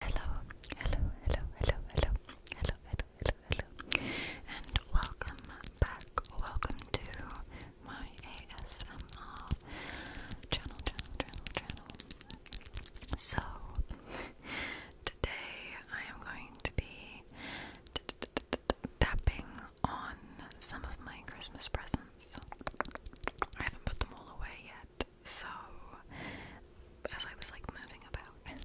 Hello, hello, hello, hello, hello, hello, hello, hello, hello, and welcome back. Welcome to my ASMR channel, channel, channel, channel. So today I am going to be tapping on some of my Christmas presents. I haven't put them all away yet so as I was like moving about.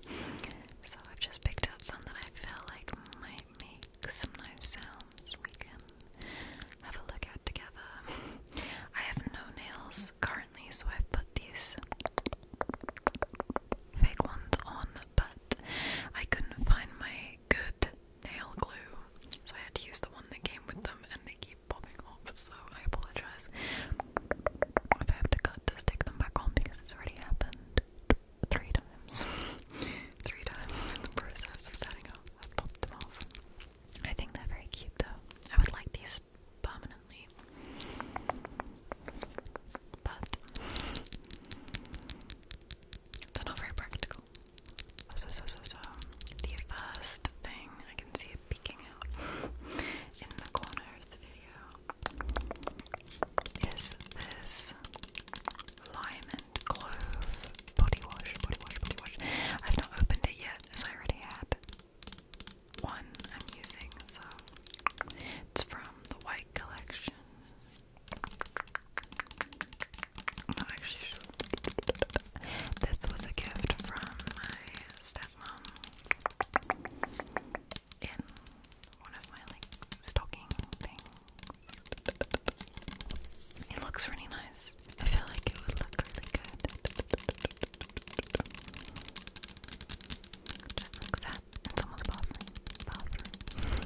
So I've just picked out some that I feel like might make some nice sounds we can have a look at together. I have no nails currently, so I've put these fake ones on, but I couldn't find my good nail glue, so I had to use the one that came with them, and they keep popping off, so I apologize if I have to cut to stick them back on because it's already happened three times. three times in the process of setting up, i popped them off. I think they're very cute though. I would like these permanently. But they're not very practical. So, so, so, so, the first thing I can see peeking out in the corner of the video is this Lyman Clove body wash, body wash, body wash. I've not opened it yet as I already had one I'm using, so it's from the White Collection. Actually, this was a gift from my stepdad. Um, in one of my stocking things. It looks really nice. I feel like it would look really good. Just like that in someone's bathroom. bathroom.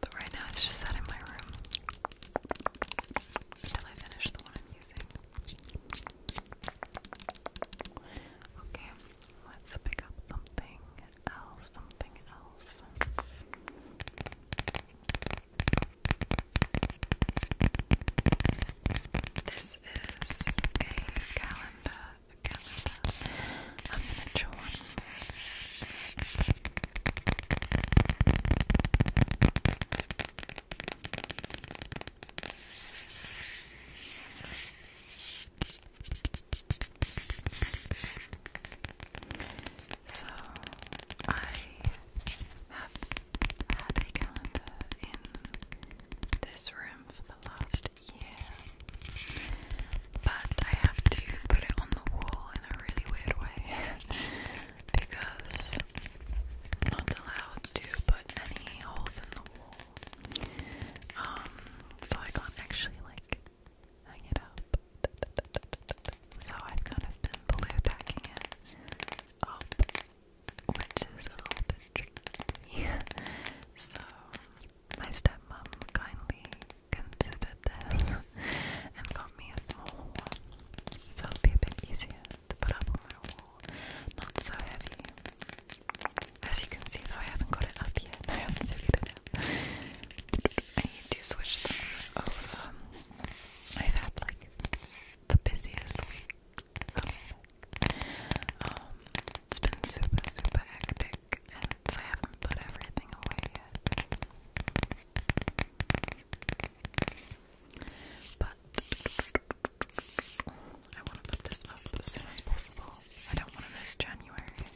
but right now it's just sat in my room until I finish the one I'm using. Okay, let's pick up something else, something else. This is a calendar, calendar. I'm gonna draw one. So I have had a calendar in this room for the last year, but I have to put it on the wall in a really weird way because not allowed to put any holes in the wall. Um, so I can't actually like hang it up. So I've kind of been blue tacking it up, which is a little bit tricky. so my stepmom kindly considered this and got me a small one, so it'll be a bit easier. Not so heavy. As you can see though, I haven't got it up yet. I haven't figured it need to switch them over. I've had like the busiest week. Um, it's been super, super hectic, and I haven't put everything away yet. But I want to put this up as soon as possible. I don't want to miss January.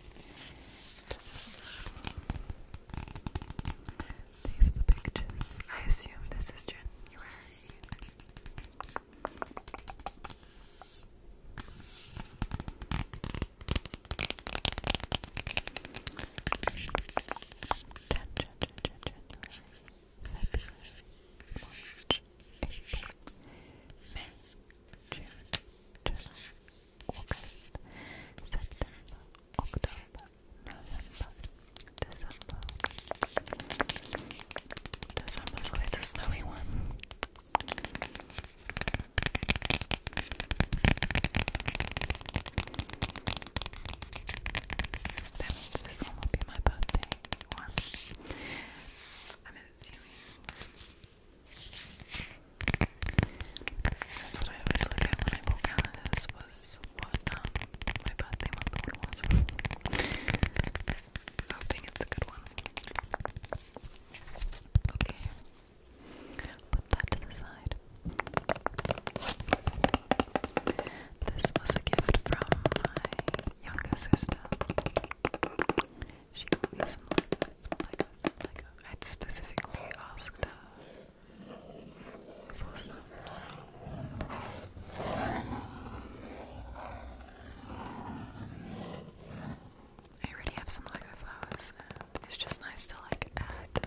these are the pictures. I assume this is January. January. February, March, September, October, November, December. December's always a snowy one. That means this one will be my birthday. I'm assuming that's what I always look at when I pull calendars was what um, my birthday month was. Hoping it's a good one. Okay. Put that to the side. This was a gift from my younger sister. She got me some Legos, some I'd specifically asked her for some. I already have some Lego flowers, it's just nice to like add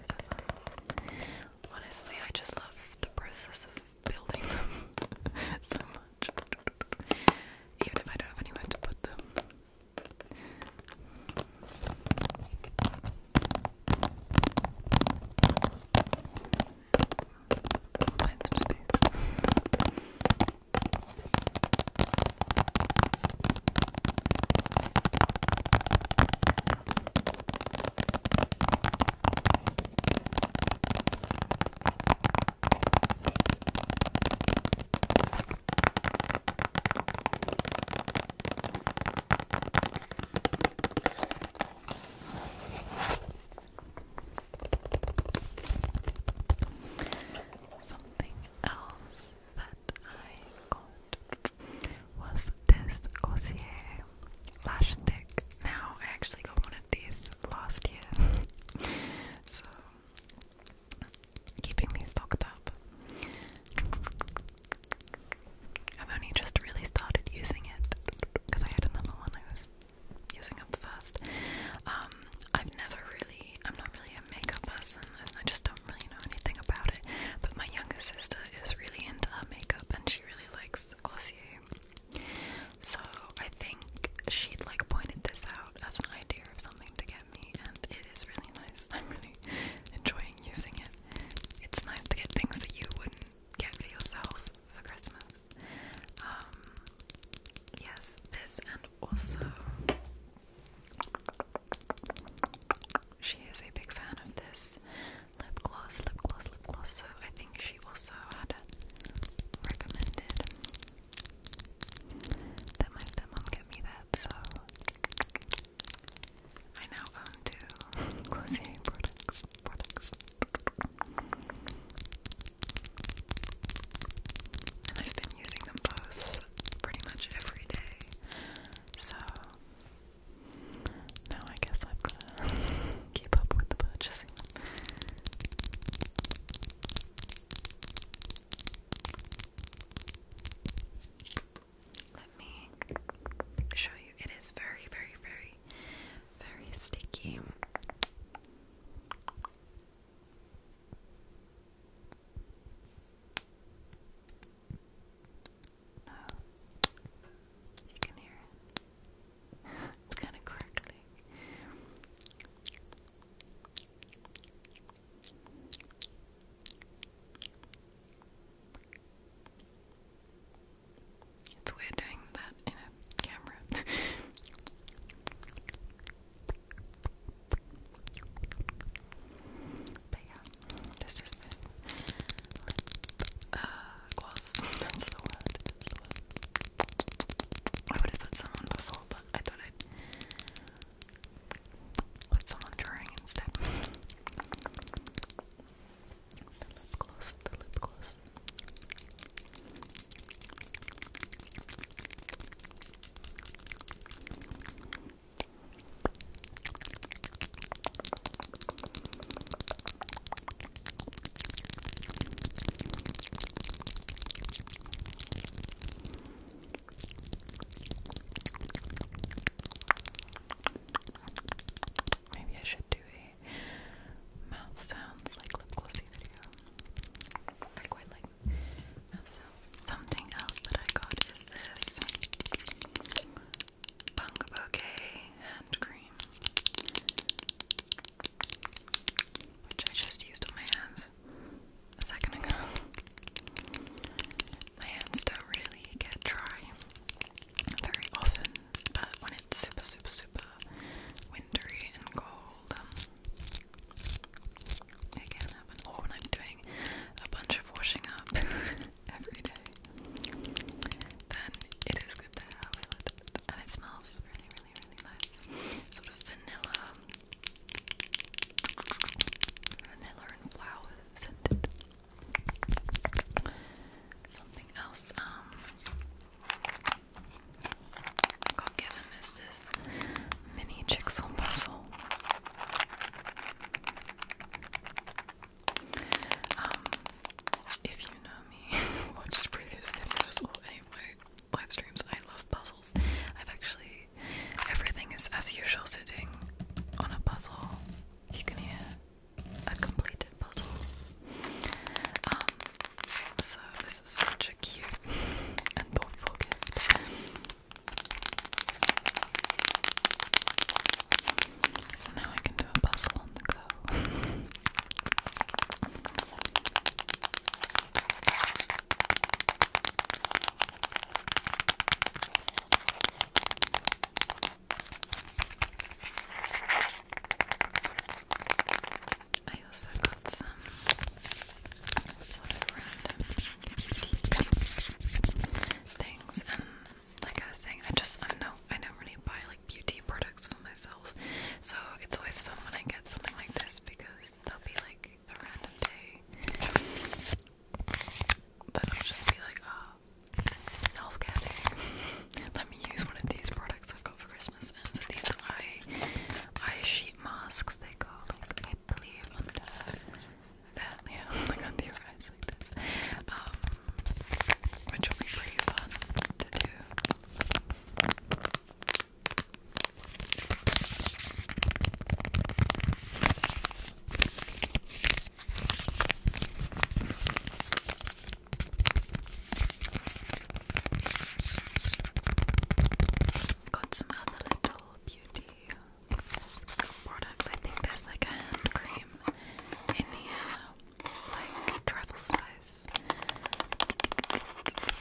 Honestly, I just love the process of building them so much. Even if I don't have anywhere to put them. Find some space. Something else that I got was this Glossier lash stick. Now I actually got one of last year, so keeping me stocked up. I've only just really started using it because I had another one I was using up first. Um, I've never really, I'm not really a makeup person, and I just don't really know anything about it. But my younger sister is really into makeup, and she really likes Glossier. So I think she'd like pointed this out as an idea of something to get me, and it is really nice. I'm really enjoying using it. It's nice to get things that you wouldn't get for yourself for Christmas. Um, yes, this and also she is a big fan of this lip gloss, lip gloss, lip I think she also had recommended that my stepmom get me that, so I now own two Glossier products. And I've been using them both pretty much every day. So now I guess I've gotta keep up with the purchases. Let me show you. It is very, very, very, very sticky. No, oh, you can hear it it's kind of crackling. It's weird doing that in a camera. but yeah, this is the gloss. the I would have put some on before, but I thought I'd put some on during instead. lip gloss. The lip gloss. Maybe I should do a mouth sounds like lip glossy video. I quite like mouth sounds. Something else that I got is this Punk Bouquet hand cream which I just used on my hands a second ago. My hands don't really get dry very often, but when it's super, super, super wintry and cold, um, when I'm doing a bunch of washing up every day, then it is good to have it, and it smells really, really, really nice. Sort of vanilla, vanilla and flower scented. Something else. I um, got given is this mini Chicks puzzle. Um, if you know me, watched previous videos or anyway, live streams. I love puzzles. I've actually everything is as usual sitting on a puzzle. You can hear a completed puzzle. Um so this is such a cute and thoughtful So now I can do a puzzle on the go. I also got some sort of random things, and um, like I was saying, I just I don't know I don't really buy beauty products for myself. So it's always fun when I get something like this because there'll be like a random day that will just be like, ah, self care Let me use one of these products i got for Christmas. these are eye, eye sheet masks. They go like I believe That, yeah, like under your eyes like this, um, which will be pretty fun to do. Got some other little beauty products. I think there's like a hand cream in here, like travel size guys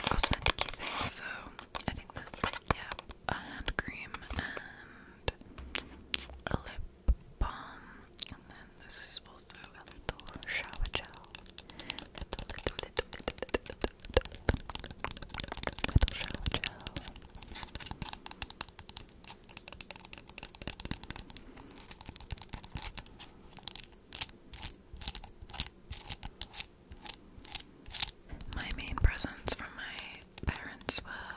cosmetic So I think this, yeah, a hand cream and a lip balm, and then this also little shower gel. My main presents from my parents were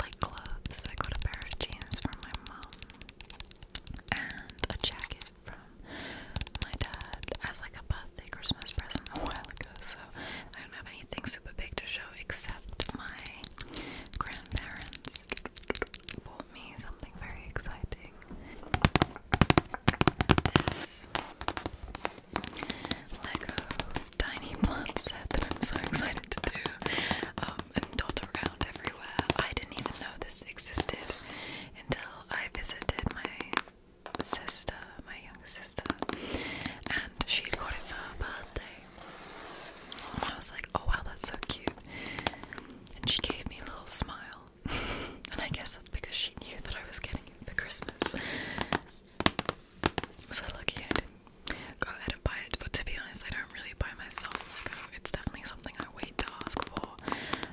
like clothes. I got a pair of jeans from my mum and a jacket from my dad as like a birthday Christmas present a while ago. So I don't have anything super big to show except my grandparents' boy me something very exciting. This Lego tiny set that I'm so excited to do um, and dot around everywhere. I didn't even know this existed until I visited my sister, my young sister, and she'd got it for her birthday. And I was like, oh wow, that's so cute. And she gave me a little smile. and I guess that's because she knew that I was getting it for Christmas. So I didn't go ahead and buy it. But to be honest, I don't really buy myself Lego. Oh, it's definitely something I wait to ask for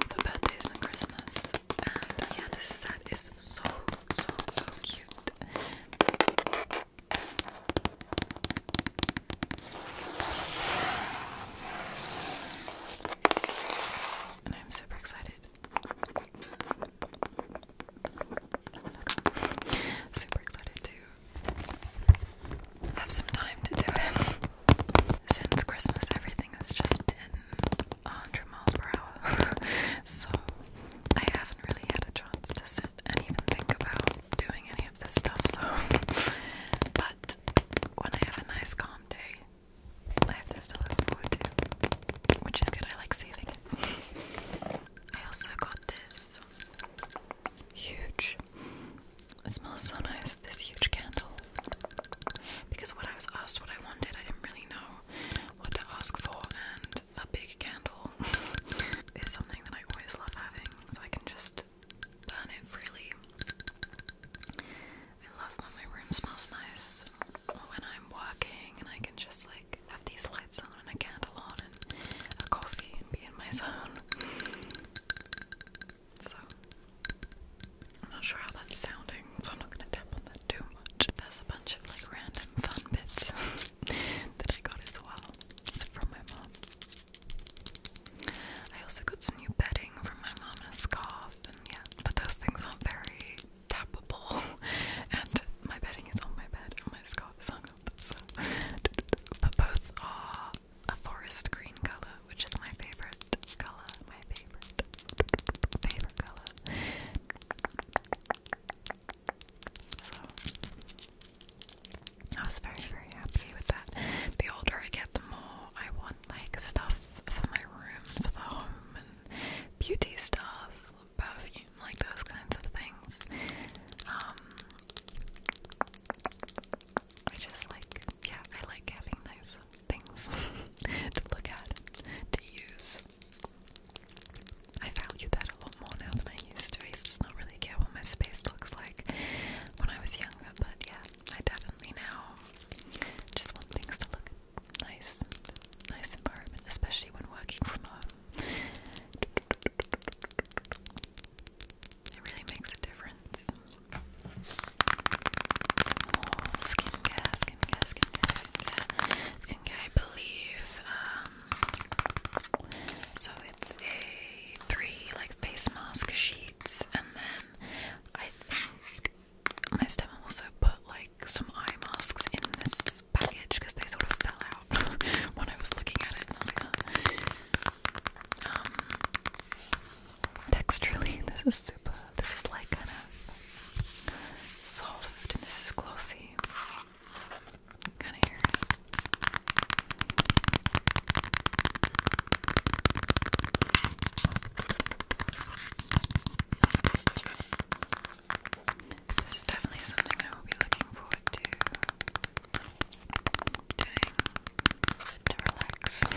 for birthdays and Christmas. And uh, yeah, this set is so so so cute. And I'm super excited. Super excited to have some time to do it. Since Christmas, everything has just been 100 miles per hour. so I haven't really had a chance to sit and even think about doing any of this stuff. So, but when I have a nice calm day, I have this to look forward to, which is good. I like saving it. I also got this huge. It smells so nice. This huge candle. Because when I was asked what I wanted, I didn't really know what to ask for, and a big candle is something that I always love having. So I can just just it freely. I love when my room smells nice when I'm walking, and I can just like have these lights on and a candle on and a coffee and be in my zone. So I'm not sure how that's sounding, so I'm not gonna tap on that too much. There's a bunch of like random fun bits that I got as well. from my mom. I also got some new bedding from my mom and a scarf, and yeah, but those things aren't very tapable, and my bedding is on my bed, and my scarf is hung up. So, but both are a forest green color, which is my favorite color. My favorite, favorite color. So. I was very, very happy with that. The older I get, the more I want like stuff for my room, for the home, and beauty stuff, perfume, like those kinds of things. Um, I just like, yeah, I like having those things to look at, to use. I value that a lot more now than I used to. I just not really care what my space looks like when I was younger, but yeah, I definitely now just want things to look nice, nice environment, especially when working from home. It really makes a difference. Skin care, skin care, skin care, skin care. I believe. Um, so it's a three like face mask sheets, and then I think my also put like some eye masks in this package because they sort of fell out when I was looking at it um, texturally this is super, this is like kind of soft and this is glossy kind of here this is definitely something I will be looking forward to doing to relax I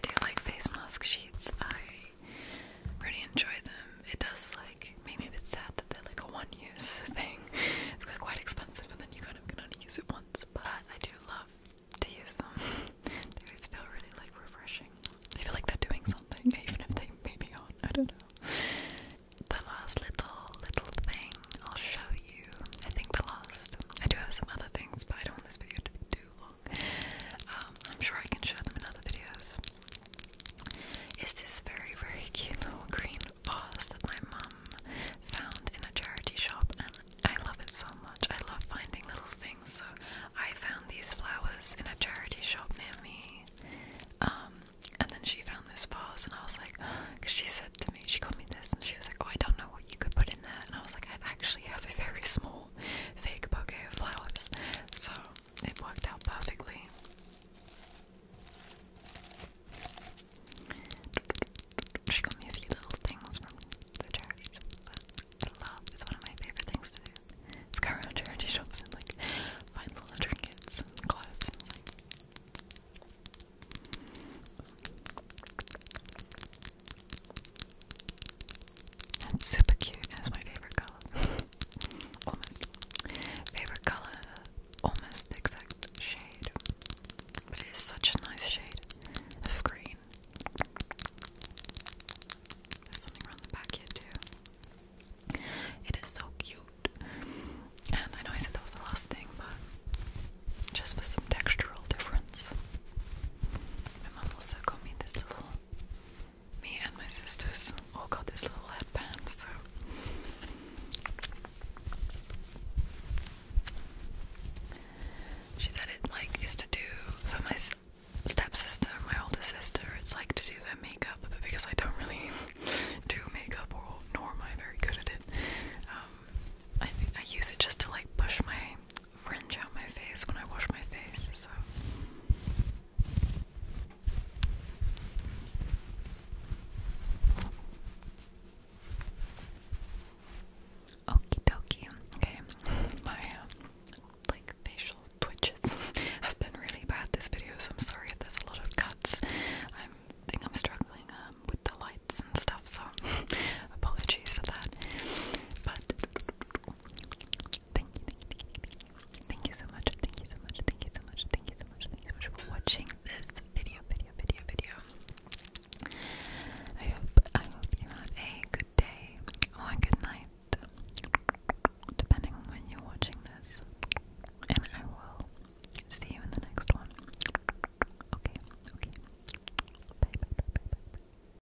do like face mask sheets. I I really enjoy them. It does like make me a bit sad that they're like a one-use thing. It's quite expensive, and then you kind of can only use it once. But I do love to use them. they always feel really like refreshing. I feel like they're doing something, even if they maybe aren't. I don't know. The last little little thing I'll show you. I think the last. I do have some other things, but I don't want this video to be too long. Um, I'm sure I can show them in other videos. It's this very, very cute little green vase that my mom found in a charity shop, and I love it so much. I love finding little things, so I found these flowers in a charity shop near me. Um, and then she found this vase, and I was like, because she said to me, she got me this, and she was like, oh, I don't know what you could put in there, and I was like, I actually have a very small fake bouquet of flowers. So it worked out perfectly. She got me a few little things from the church that love. It's one of my favorite things to do. It's go around charity shops and like find little trinkets and clothes and like that's super cute. That's my favorite color. almost. Favorite color, almost exact shade. But it is such a nice shade of green. something around the back here too. It is so cute. And I know I said that was the last thing, but just for some textural difference. My mum also got me this little me and my sisters all got this little headband, so she said it like is to do for my stepsister, my older sister, it's like to do their makeup, but because I don't really do makeup nor am I very good at it, um, I use it just to like push my fringe out my face when I wash my face, so. Okie dokie. Okay, my um, like facial twitches have been really bad this video, so I'm sorry if there's a lot of cuts. I think I'm struggling um, with the lights and stuff, so apologies for that. But Thank you, thank you so much, thank you so much, thank you so much, thank you so much, thank you so much for watching this video, video, video, video. I hope, I hope you had a good day or a good night, depending on when you're watching this. And I will see you in the next one. Okay, okay. Bye, bye, bye, bye, bye.